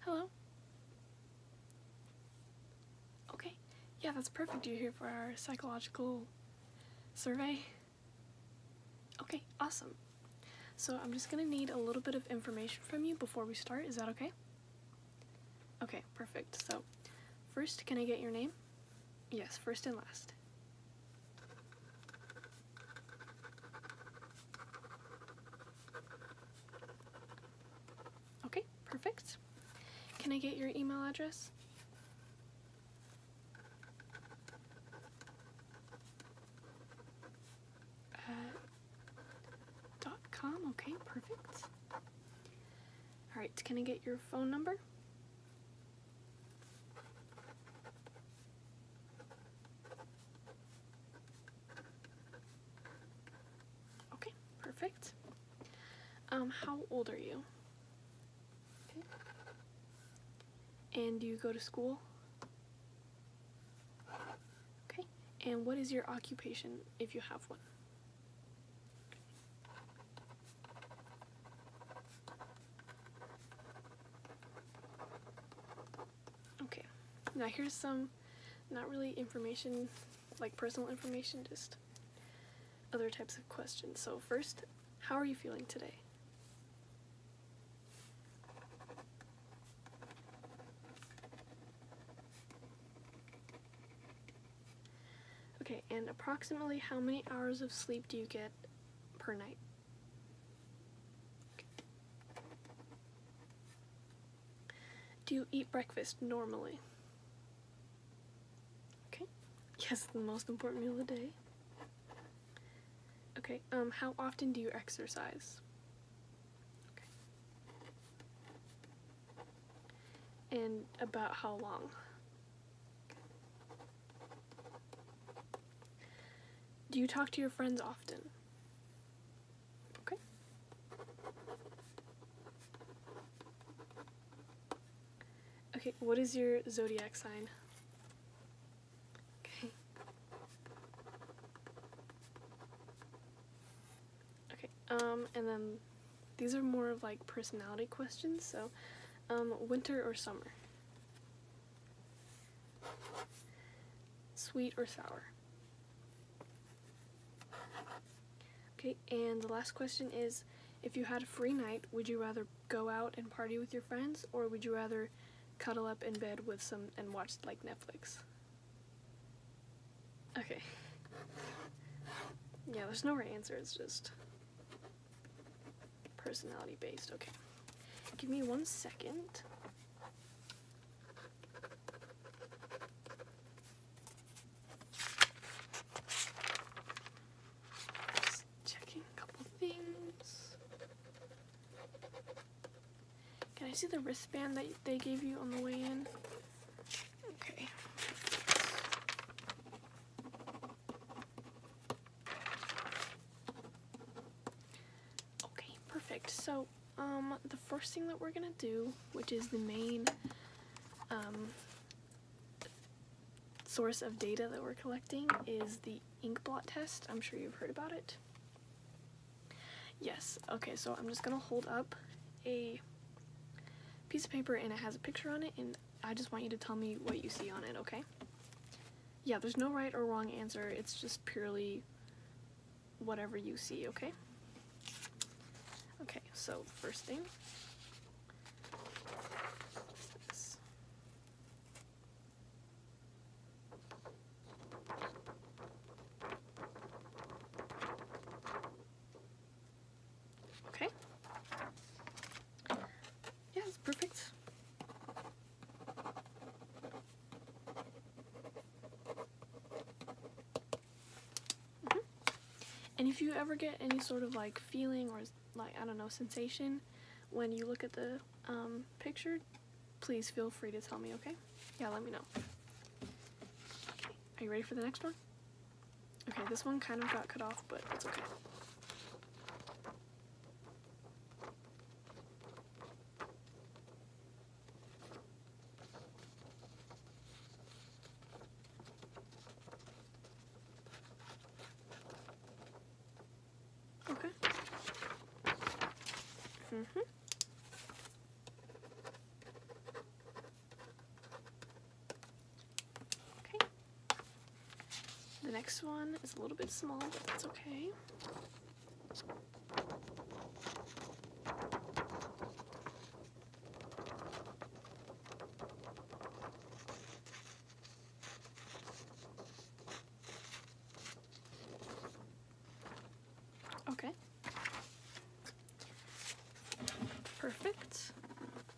Hello? Okay. Yeah, that's perfect. You're here for our psychological survey. Okay, awesome. So I'm just gonna need a little bit of information from you before we start. Is that okay? Okay, perfect. So first, can I get your name? Yes, first and last. Okay, perfect. Can I get your email address? Uh, dot com. Okay, perfect. All right, can I get your phone number? Okay, perfect. Um, how old are you? Okay. And do you go to school? Okay. And what is your occupation if you have one? Okay, now here's some, not really information, like personal information, just other types of questions. So first, how are you feeling today? Okay, and approximately how many hours of sleep do you get per night. Do you eat breakfast normally? Okay. Yes, the most important meal of the day. Okay, um, how often do you exercise? Okay. And about how long? Do you talk to your friends often? Okay. Okay, what is your zodiac sign? Okay. Okay, um, and then these are more of like personality questions, so um, winter or summer? Sweet or sour? Okay, and the last question is, if you had a free night, would you rather go out and party with your friends, or would you rather cuddle up in bed with some and watch like Netflix? Okay. Yeah, there's no right answer, it's just Personality based, okay. Give me one second. checking a couple things. Can I see the wristband that they gave you on the way in? Okay. Okay, perfect. So, um, the first thing that we're gonna do, which is the main um, source of data that we're collecting, is the ink blot test. I'm sure you've heard about it. Yes, okay, so I'm just gonna hold up a piece of paper and it has a picture on it and I just want you to tell me what you see on it, okay? Yeah, there's no right or wrong answer. It's just purely whatever you see, okay? Okay, so first thing. Okay. Yeah, perfect. Mm-hmm. And if you ever get any sort of like feeling or like, I don't know, sensation when you look at the um, picture, please feel free to tell me, okay? Yeah, let me know. Are you ready for the next one? Okay, this one kind of got cut off, but it's okay. Okay. Mm-hmm. Okay. The next one is a little bit small, but that's okay. Okay. Perfect.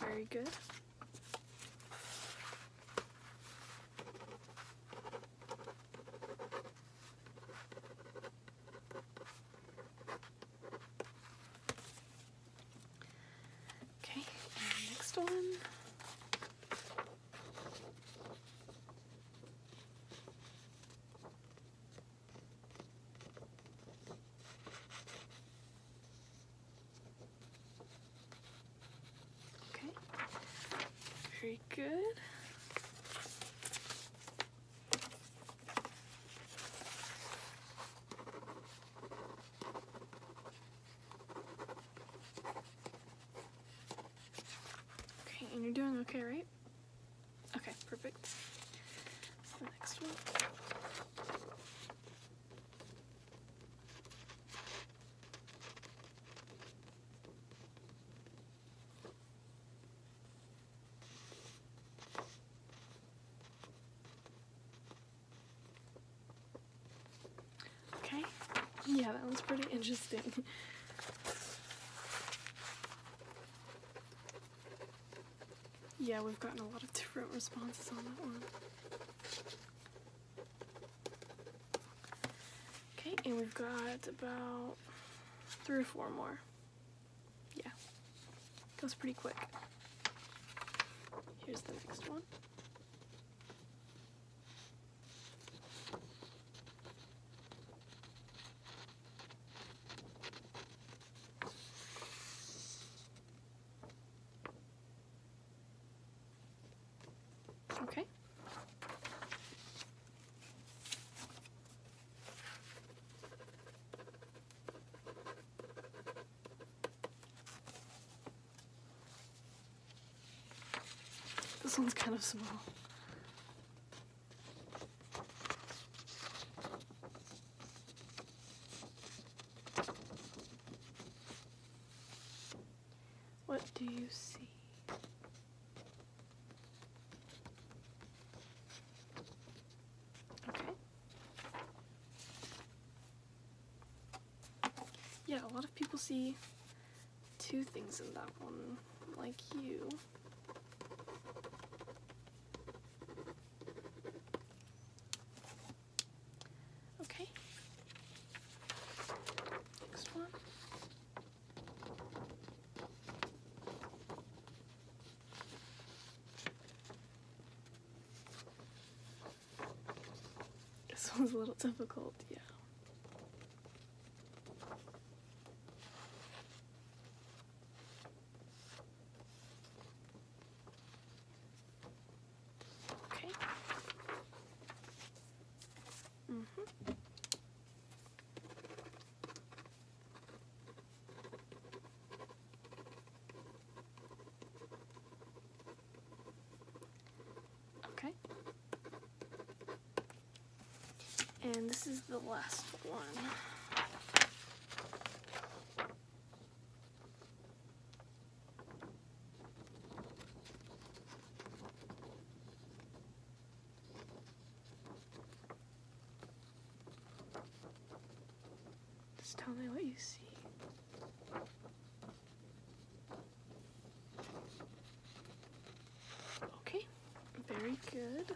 Very good. Okay, next one. Okay, very good. Okay, and you're doing okay, right? Okay, perfect. The next one. Okay. Yeah, that one's pretty interesting. Yeah, we've gotten a lot of different responses on that one. Okay, and we've got about three or four more. Yeah, goes pretty quick. Here's the next one. Okay. This one's kind of small. What do you see? Okay. Yeah, a lot of people see two things in that one, like you. Okay. Next one. This one's a little difficult, yeah. Okay. Mhm. Mm okay. And this is the last one. Just tell me what you see. Okay, very good.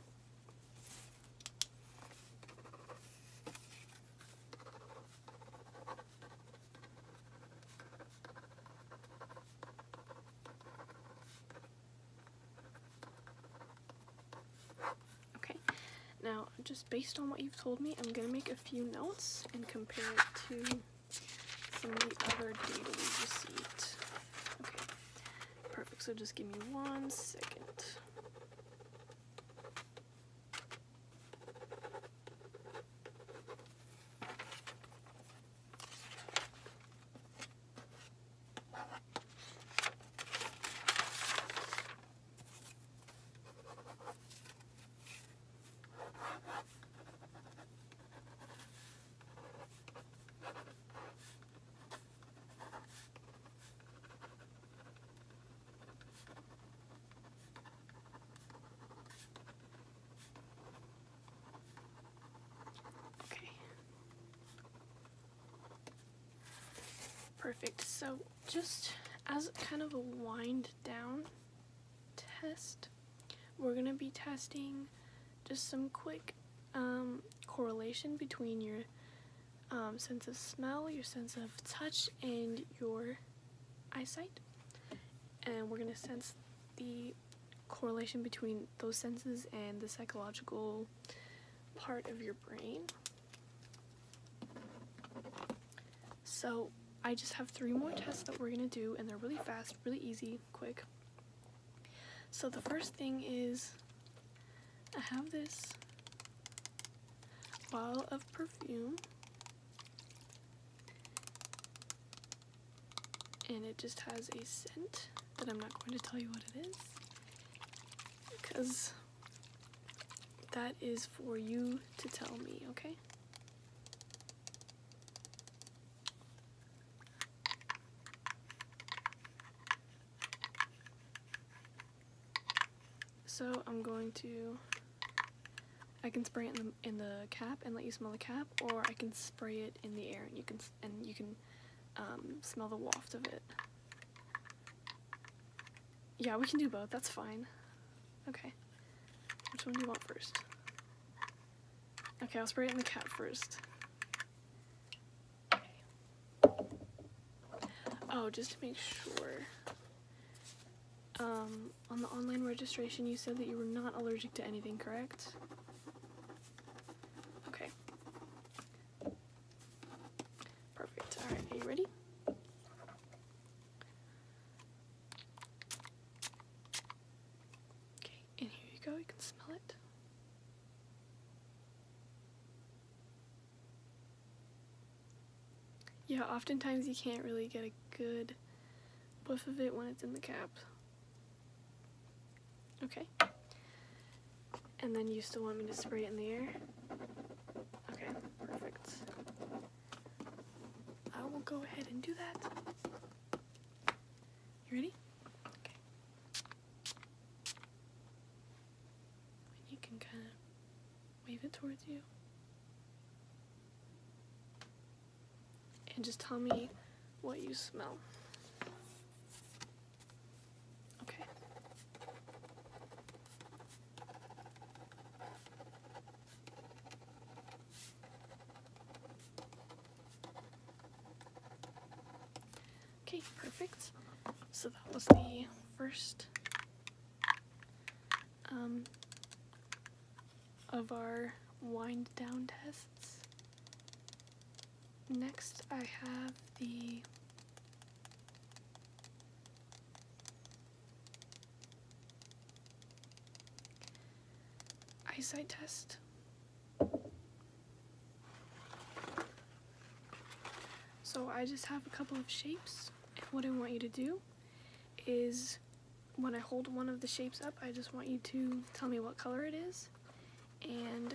Okay, now just based on what you've told me, I'm gonna make a few notes and compare it to some of the other data we received. Okay, Perfect, so just give me one second. Okay. Perfect. So, just as kind of a wind down test, we're going to be testing just some quick um, correlation between your um, sense of smell, your sense of touch, and your eyesight. And we're going to sense the correlation between those senses and the psychological part of your brain. So I just have three more tests that we're going to do, and they're really fast, really easy quick. So the first thing is I have this bottle of perfume and it just has a scent that I'm not going to tell you what it is because that is for you to tell me, okay? So I'm going to, I can spray it in the, in the cap and let you smell the cap, or I can spray it in the air and you can, and you can um, smell the waft of it. Yeah, we can do both, that's fine. Okay. Which one do you want first? Okay, I'll spray it in the cap first. Oh, just to make sure. Um, on the online registration, you said that you were not allergic to anything, correct? Okay. Perfect. All right, are you ready? Okay, and here you go, you can smell it. Yeah, oftentimes you can't really get a good whiff of it when it's in the cap. Okay. And then you still want me to spray it in the air? Okay, perfect. I will go ahead and do that. You ready? And you can kind of wave it towards you. And just tell me what you smell. Okay. Okay, perfect. So that was the first um, of our wind down tests. Next, I have the eyesight test, so I just have a couple of shapes and what I want you to do is when I hold one of the shapes up I just want you to tell me what color it is and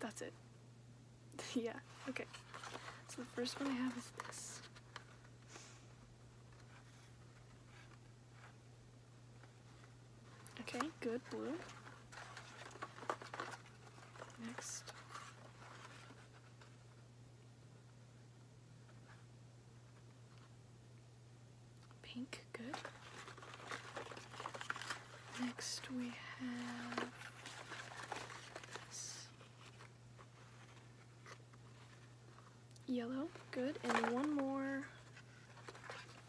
that's it. yeah, okay. So the first one I have is this. Okay, good, blue. Next. Pink, good. Next we have yellow, good. And one more,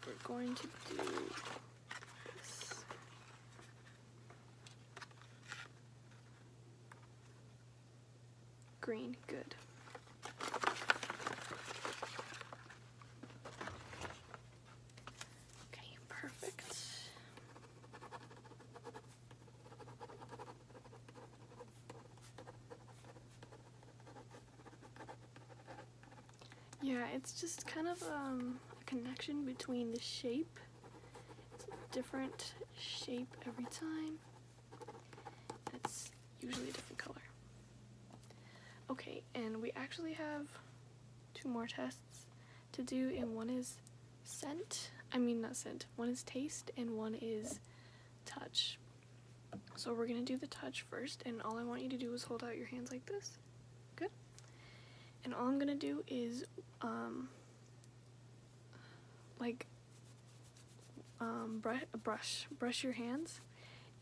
we're going to do Green, good. Okay, perfect. Yeah, it's just kind of um, a connection between the shape. It's a different shape every time. That's usually a different color. Okay, and we actually have two more tests to do, and one is scent. I mean, not scent. One is taste, and one is touch. So we're going to do the touch first, and all I want you to do is hold out your hands like this. Good. And all I'm going to do is, um, like, um, brush, brush, your hands.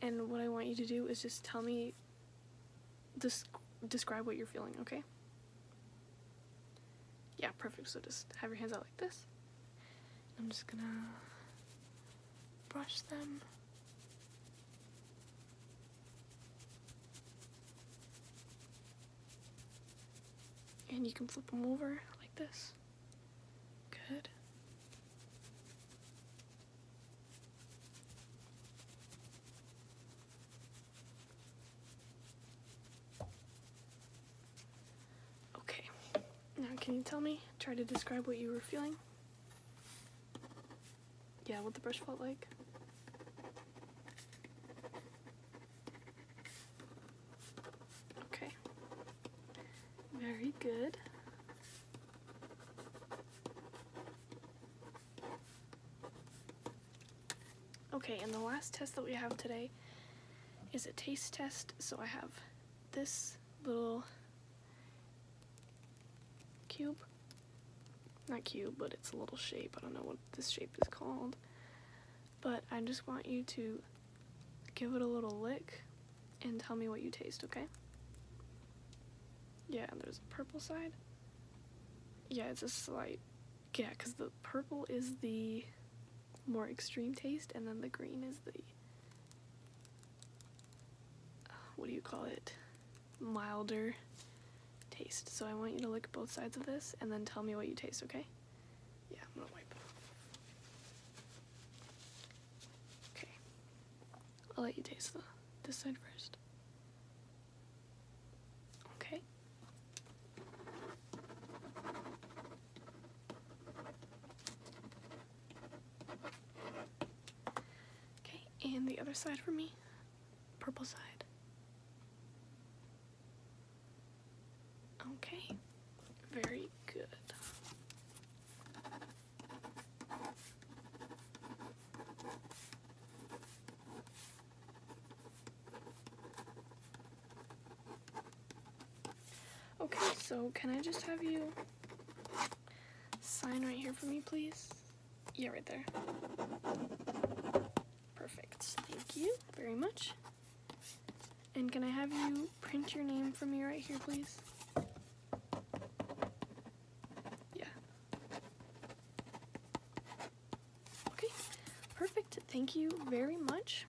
And what I want you to do is just tell me, des describe what you're feeling, okay? Yeah, perfect. So just have your hands out like this. I'm just gonna brush them. And you can flip them over like this. Good. Okay. Now, can you tell me, try to describe what you were feeling? Yeah, what the brush felt like? Okay. Very good. Okay, and the last test that we have today is a taste test. So I have this little cube. Not cube, but it's a little shape. I don't know what this shape is called. But I just want you to give it a little lick and tell me what you taste, okay? Yeah, there's a purple side. Yeah, it's a slight... Yeah, because the purple is the more extreme taste, and then the green is the, uh, what do you call it, milder taste. So I want you to lick both sides of this and then tell me what you taste, okay? Yeah, I'm gonna wipe. Okay, I'll let you taste the, this side first. Okay. Okay, and the other side for me, purple side. Okay, very good. Okay, so can I just have you sign right here for me, please? Yeah, right there. Perfect. Thank you very much. And can I have you print your name for me right here, please? Yeah. Okay, perfect. Thank you very much.